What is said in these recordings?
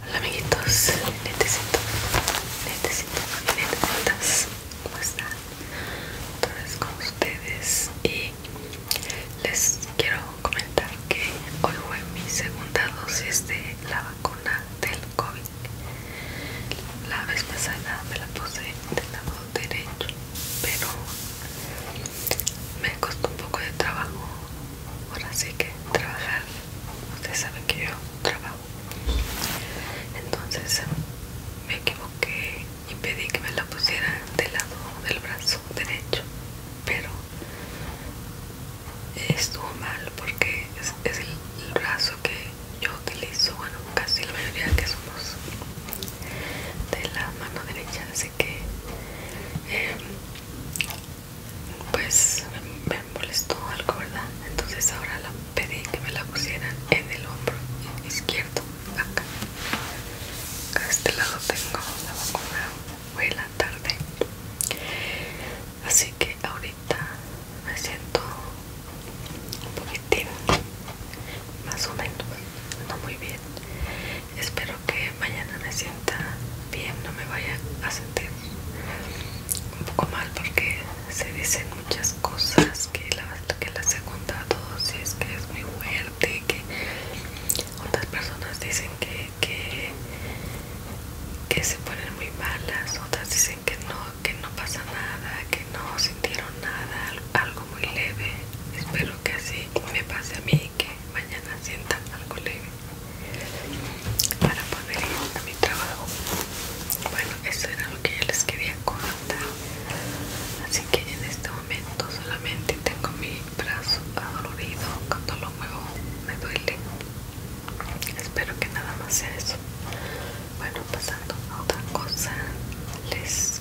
Hola amiguitos, necesito, necesito, y ¿cómo están? es con ustedes y les quiero comentar que hoy fue mi segunda dosis de la vacuna del COVID. La vez pasada me la puse del lado derecho, pero me costó un poco de trabajo ahora sí que trabajar ustedes saben que yo trabajo entonces me equivoqué y pedí que me la pusiera del lado del brazo derecho pero estuvo mal porque es, el, brazo que yo utilizo bueno casi la mayoría que somos de la mano derecha así que em, pues me molestó algo, ¿verdad? Entonces ahora la pedí que me la pusieran en el hombro izquierdo, acá. a este lado tengo la vacuna, en la tarde. Así que ahorita me siento un poquitín, más o menos, no muy bien. Espero que mañana me sienta bien, no me vaya a sentir un poco mal porque se dicen muchas cosas que la, la segunda dosis que es muy fuerte, que otras personas dicen que, que, que se ponen muy malas, otras dicen que no, que no pasa nada, que no sintieron nada, algo muy leve. Espero que así me pase a mí que mañana sientan algo leve para poder ir a mi trabajo. Bueno, eso era lo que yo les quería contar. Así que en este momento solamente tengo mi brazo adolorido cuando lo muevo me duele. Espero que nada más sea eso. Bueno, pasando a otra cosa, les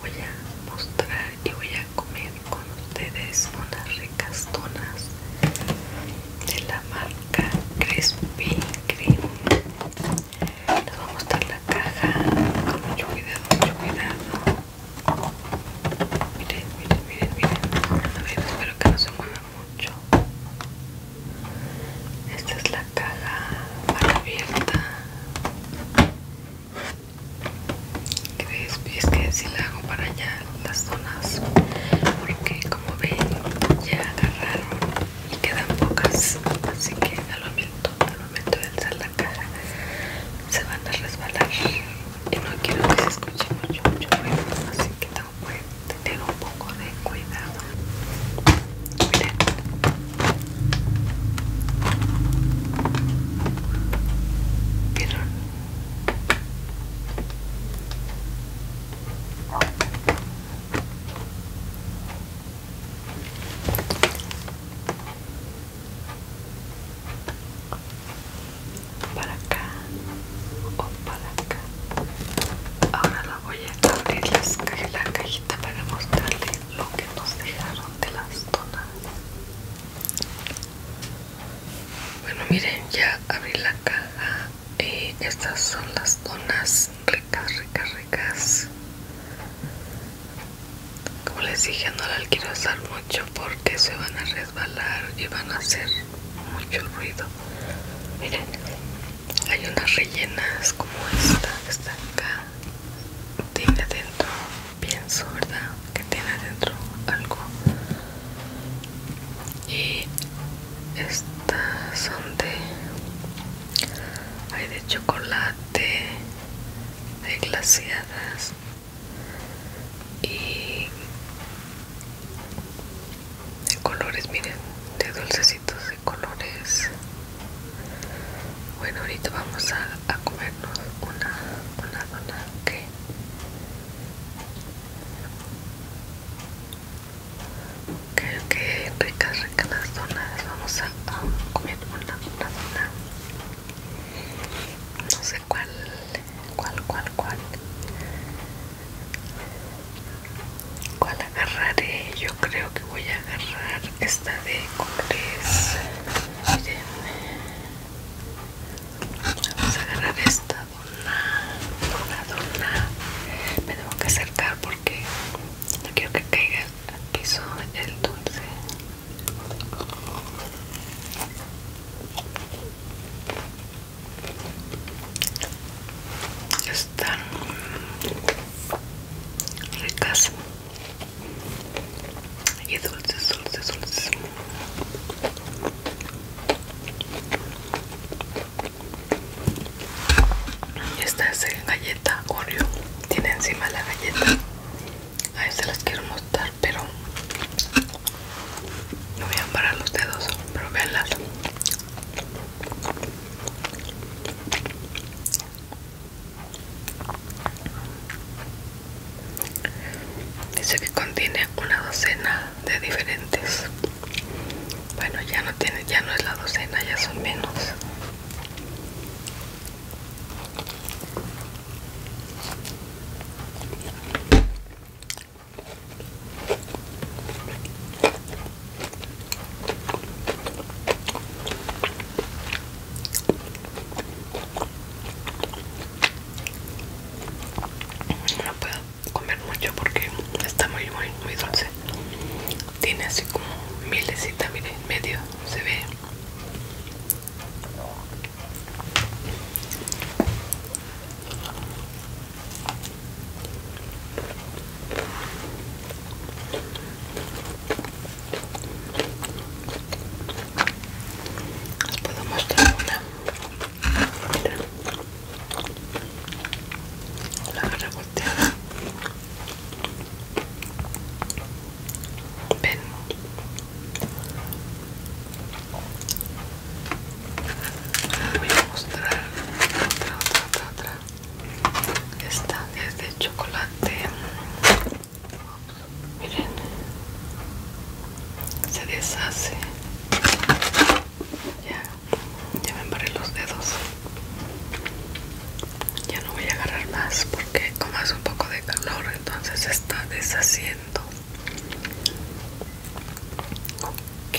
voy a mostrar y voy a comer con ustedes unas ricas tonas de la marca Crispy Cream. Les voy a mostrar la caja con mucho cuidado, mucho cuidado. Miren, miren, miren, miren. espero que no se mueva mucho. Esta es la caja abierta es que si la hago para allá las zonas porque como ven ya agarraron y quedan pocas así que al momento al momento de alzar la cara, se van a resbalar y no quiero que se escuche mucho mucho menos así que tengo que tener un poco de cuidado miren para acá o para acá ahora la voy a abrir las la cajita para mostrarle lo que nos dejaron de las donas bueno, miren, ya abrí la caja y eh, estas son las donas ricas, ricas, ricas. Como les dije, no las quiero usar mucho porque se van a resbalar y van a hacer mucho ruido. Miren, hay unas rellenas como esta, esta acá. Tiene dentro pienso, ¿verdad? que tiene dentro algo y estas son de hay de chocolate de glaciadas y de colores miren de dulcecitos de colores bueno ahorita vamos a, comernos una, una dona que Creo que ricas, ricas las donas, Vamos a comer una, una, No sé cuál, cuál, cuál, cuál. ¿Cuál agarraré? Yo creo que voy a agarrar esta de colores. Miren. Vamos a agarrar esta dona, dona, dona. Me tengo que acercar porque no quiero que caiga al piso el dulce. Están ricas y dulces, dulces, dulces. Y esta es galleta Oreo. Tiene encima la galleta. A se las quiero mostrar, pero no voy a amparar los dedos. Pero veanlas. Dice que contiene una docena de diferentes. Bueno, ya no tiene, ya no es la docena, ya son menos. No puedo comer mucho porque está muy muy muy dulce. Tiene así como milecita, y medio se ve. Les puedo mostrar una Mira. La agarra volteada. Ven. Voy a mostrar otra, otra, otra, otra. Esta es de chocolate miren se deshace ya ya me embarré los dedos ya no voy a agarrar más porque como hace un poco de calor entonces se está deshaciendo ok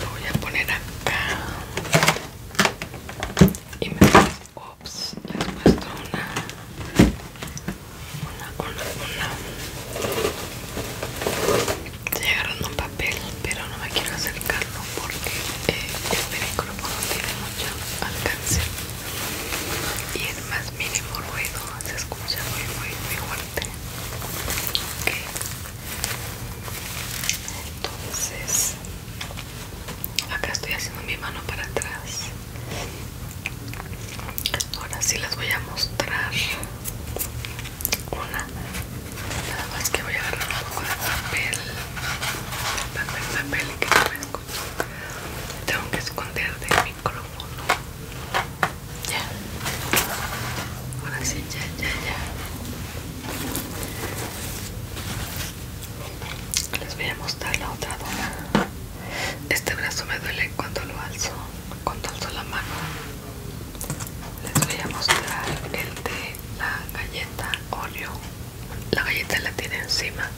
lo voy a poner acá y me Ops, pues, les muestro una una una una un papel pero no me quiero acercarlo porque eh, este el no tiene mucho alcance y es más mínimo ruido se escucha muy muy muy fuerte Ok entonces acá estoy haciendo mi mano para atrás ahora sí les voy a mostrar una nada más que voy a agarrar un poco de papel papel papel que no me escucho tengo que esconder del micrófono ya ahora sí ya ya ya les voy a mostrar la otra dona este brazo me duele cuando lo alzo cuando alzo la mano les voy a mostrar el de la galleta Oreo la galleta la tiene encima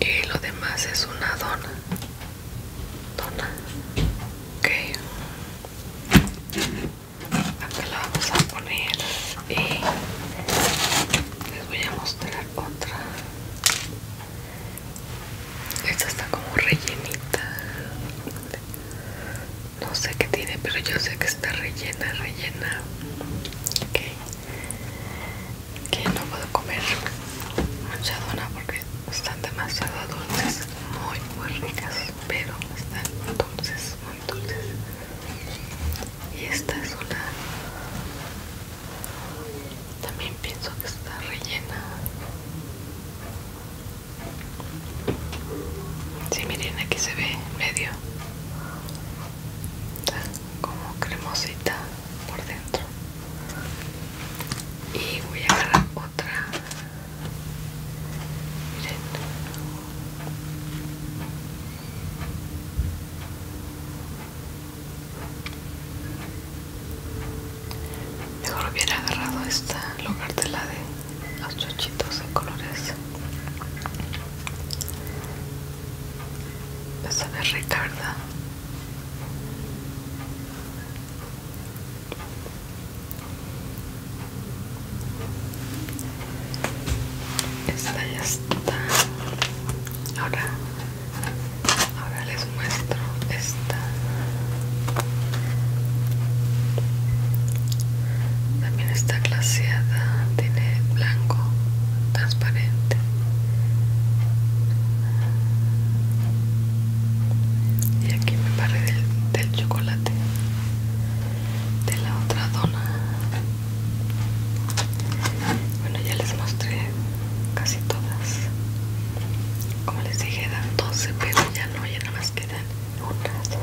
y lo demás es una dona dona ok acá la vamos a poner y les voy a mostrar otra esta está como rellenita no sé qué tiene pero yo sé que está rellena rellena que no puedo comer mucha dona porque están demasiado dulces muy muy ricas pero están dulces muy dulces y esta es una también pienso que está rellena si miren aquí se ve medio como cremosita por dentro y voy a agarrar otra miren Mejor hubiera agarrado esta lugar de la de los chochitos de colores. esa me ricarda esta ya está. Ahora, ahora les muestro esta. También está glaseada, tiene blanco transparente. Y aquí me paré del chocolate de la otra dona bueno ya les mostré casi todas como les dije dan 12 pero ya no ya nada más quedan 1 2,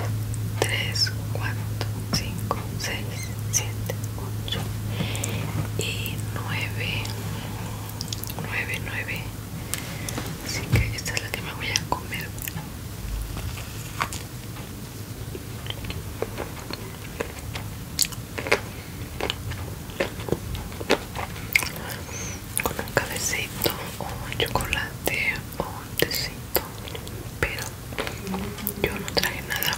3 4 5 6 7 8 y 9 9 9 así que esta es la que me voy a comer con un cabecito o un chocolate o un tecito pero yo no traje nada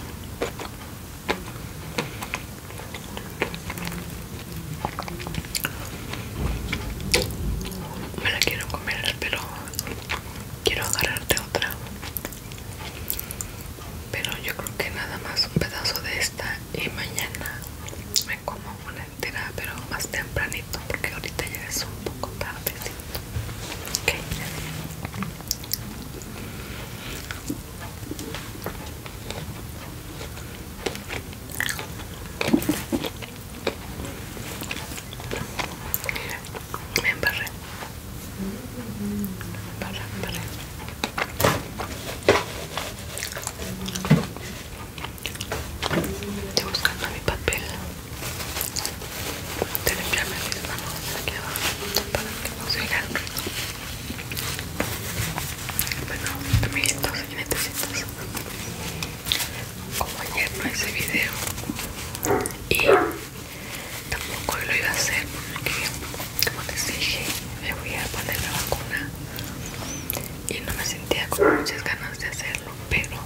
me la quiero comer pero quiero agarrarte otra pero yo creo que nada más un pedazo de esta y mañana me como una entera pero más tempranito porque ahorita ya es un poco tarde okay. Me embarré. Me embarré, me embarré. Estoy buscando mi papel te limpiarme mis manos aquí abajo para que no se oiga Bueno, amiguitos y necesitas como ayer no hice video y tampoco lo iba a hacer porque como les dije me voy a poner la vacuna y no me sentía con muchas ganas de hacerlo pero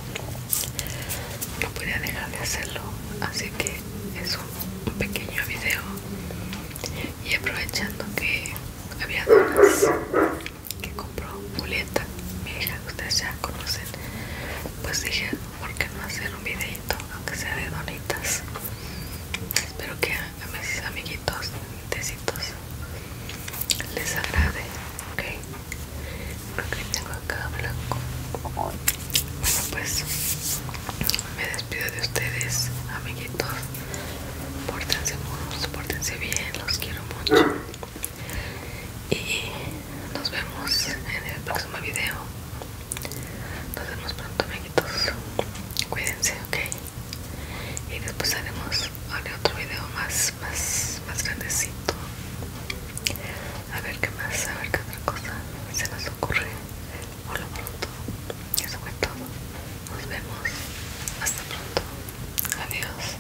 no podía dejar de hacerlo así que es un pequeño video y aprovechando que había donas que compró Julieta mi hija ustedes ya conocen pues dije por qué no hacer un videito aunque sea de donitas espero que a mis amiguitos amiguitos les agrade ok creo que tengo acá blanco bueno pues me despido de ustedes amiguitos pórtense buenos pórtense bien los quiero mucho y nos vemos en el próximo video nos vemos pronto amiguitos cuídense ok y después haremos otro video más más más grandecito a ver qué más a ver qué otra cosa se nos ocurre por lo pronto eso fue todo nos vemos hasta pronto adiós